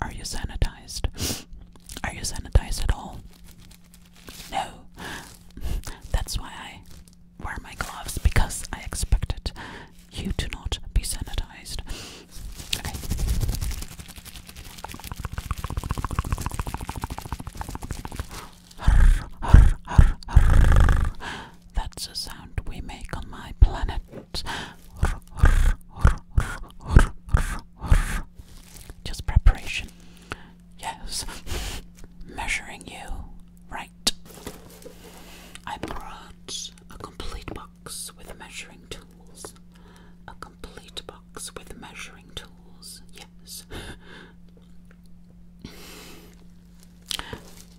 are you sanitized? Are you sanitized at all? No. That's why I wear my gloves because I expected you to not be sanitized. That's a sound we make on my planet. Just preparation. Yes. Measuring you. Right. I brought a complete box with measuring tools. A complete box with measuring tools. Yes.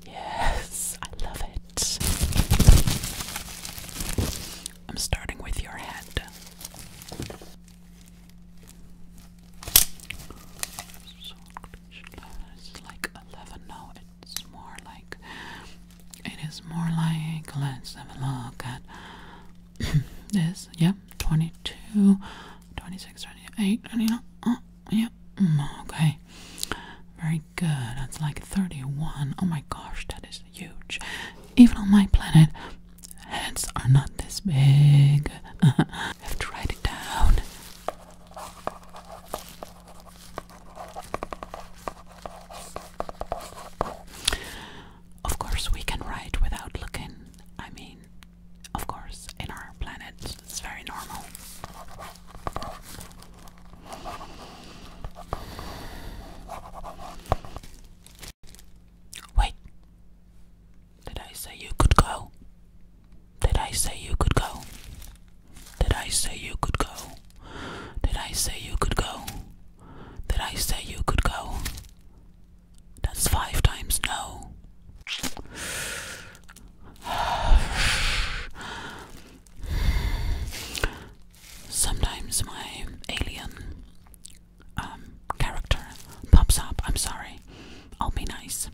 Yes, I love it. I'm starting with your head. It's like 11. No, it's more like. It is more like. Let's have a look at this. Yep, 22, 26, 28, 29. Oh, Yeah. Mm, okay. Very my god, that's like 31. Oh my gosh, that is huge. Even on my planet, heads are not this big. Have to write it down. Of course, we can write without looking. I mean, of course, in our planet, it's very normal. Wait. Did I say you could go? Did I say you could go? Did I say you could go? Did I say you could go? Did I say you could go? That's five times no. Sometimes my alien um, character pops up. I'm sorry. I'll be nice.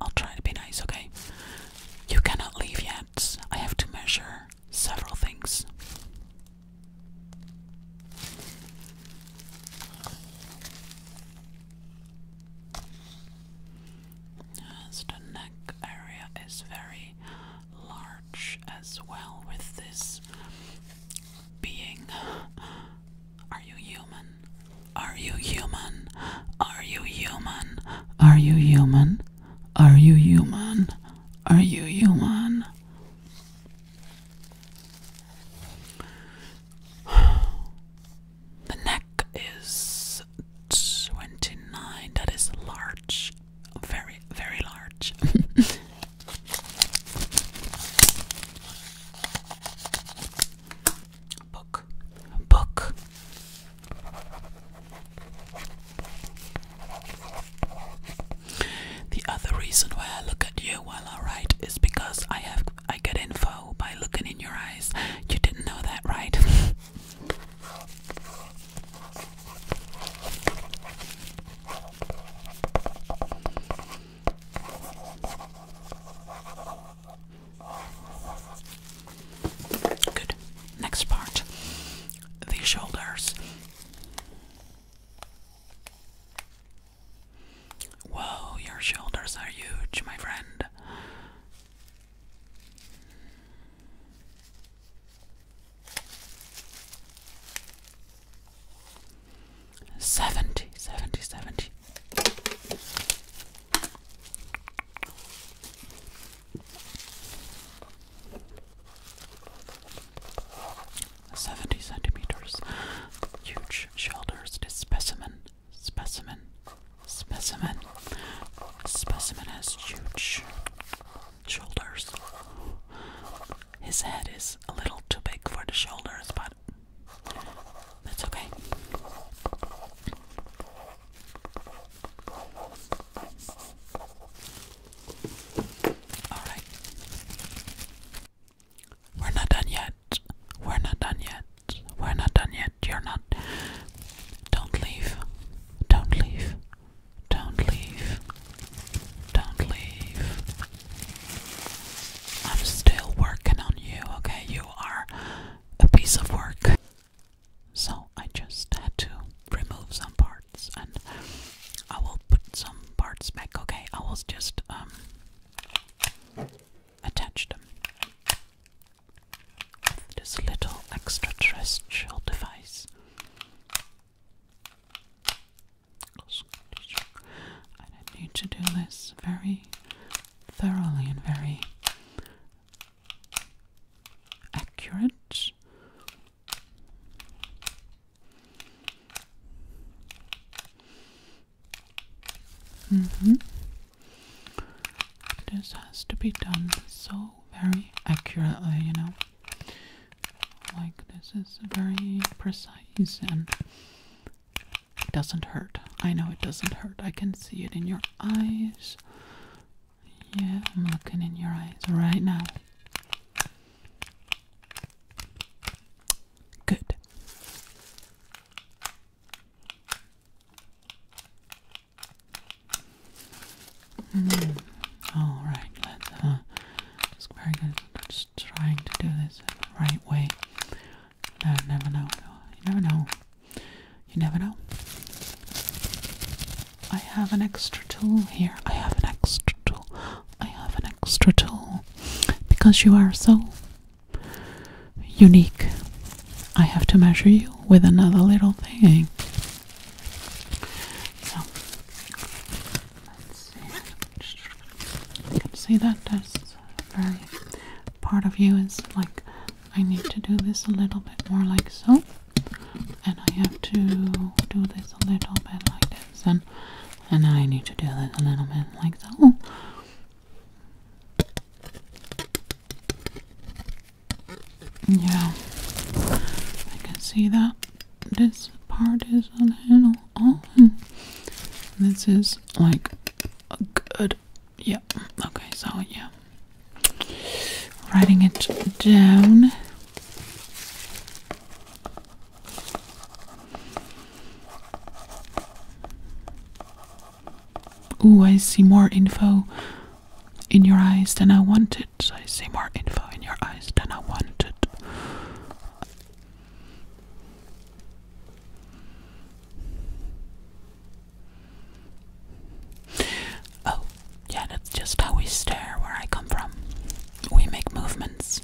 I'll try to be nice, okay? You cannot leave yet. I have to measure several things. As the neck area is very large as well, with this being. Are you human? Are you human? Are you human? Are you human? Are you human? Are you human? The neck is 29, that is large, very, very large. book, book. The other reason why I look at you while I write is because I have I get info by looking in your eyes. You didn't know that, right? Good. Next part the shoulders. Whoa, your shoulders are huge, my friend. Seventy, seventy, seventy. Seventy centimeters. Huge shoulders, this specimen. Specimen. Specimen. Specimen has huge shoulders. His head is a little too big for the shoulders, but that's okay. All right. We're not done yet. We're not done yet. We're not done yet. You're not. Don't leave. Don't leave. Don't leave. Don't leave. I'm still working on you, okay? You are a piece of work. So I just had to remove some parts and I will put some parts back, okay? I was just um attach them this little extraterrestrial device. I need to do this very thoroughly and very accurate -hmm. This has to be done so very accurately, you know. Like, this is very precise and it doesn't hurt. I know it doesn't hurt. I can see it in your eyes. Yeah, I'm looking in your eyes right now. Good. Hmm. All right, uh, very good. Just trying to do this right way. No, uh, never know. You never know. You never know. I have an extra tool here. I have an extra tool. I have an extra tool because you are so unique. I have to measure you with another little thing. So let's see. You can see that that's very part of you is like I need to do this a little bit more like so, and I have to do this a little bit like this, and now I need to do that a little bit like so. Oh. Yeah, I can see that this part is a little off. This is like good. Yeah, okay, so yeah. Writing it down. Ooh, I see more info in your eyes than I wanted. I see more info in your eyes than I wanted. Oh, yeah, that's just how we stare where I come from. We make movements.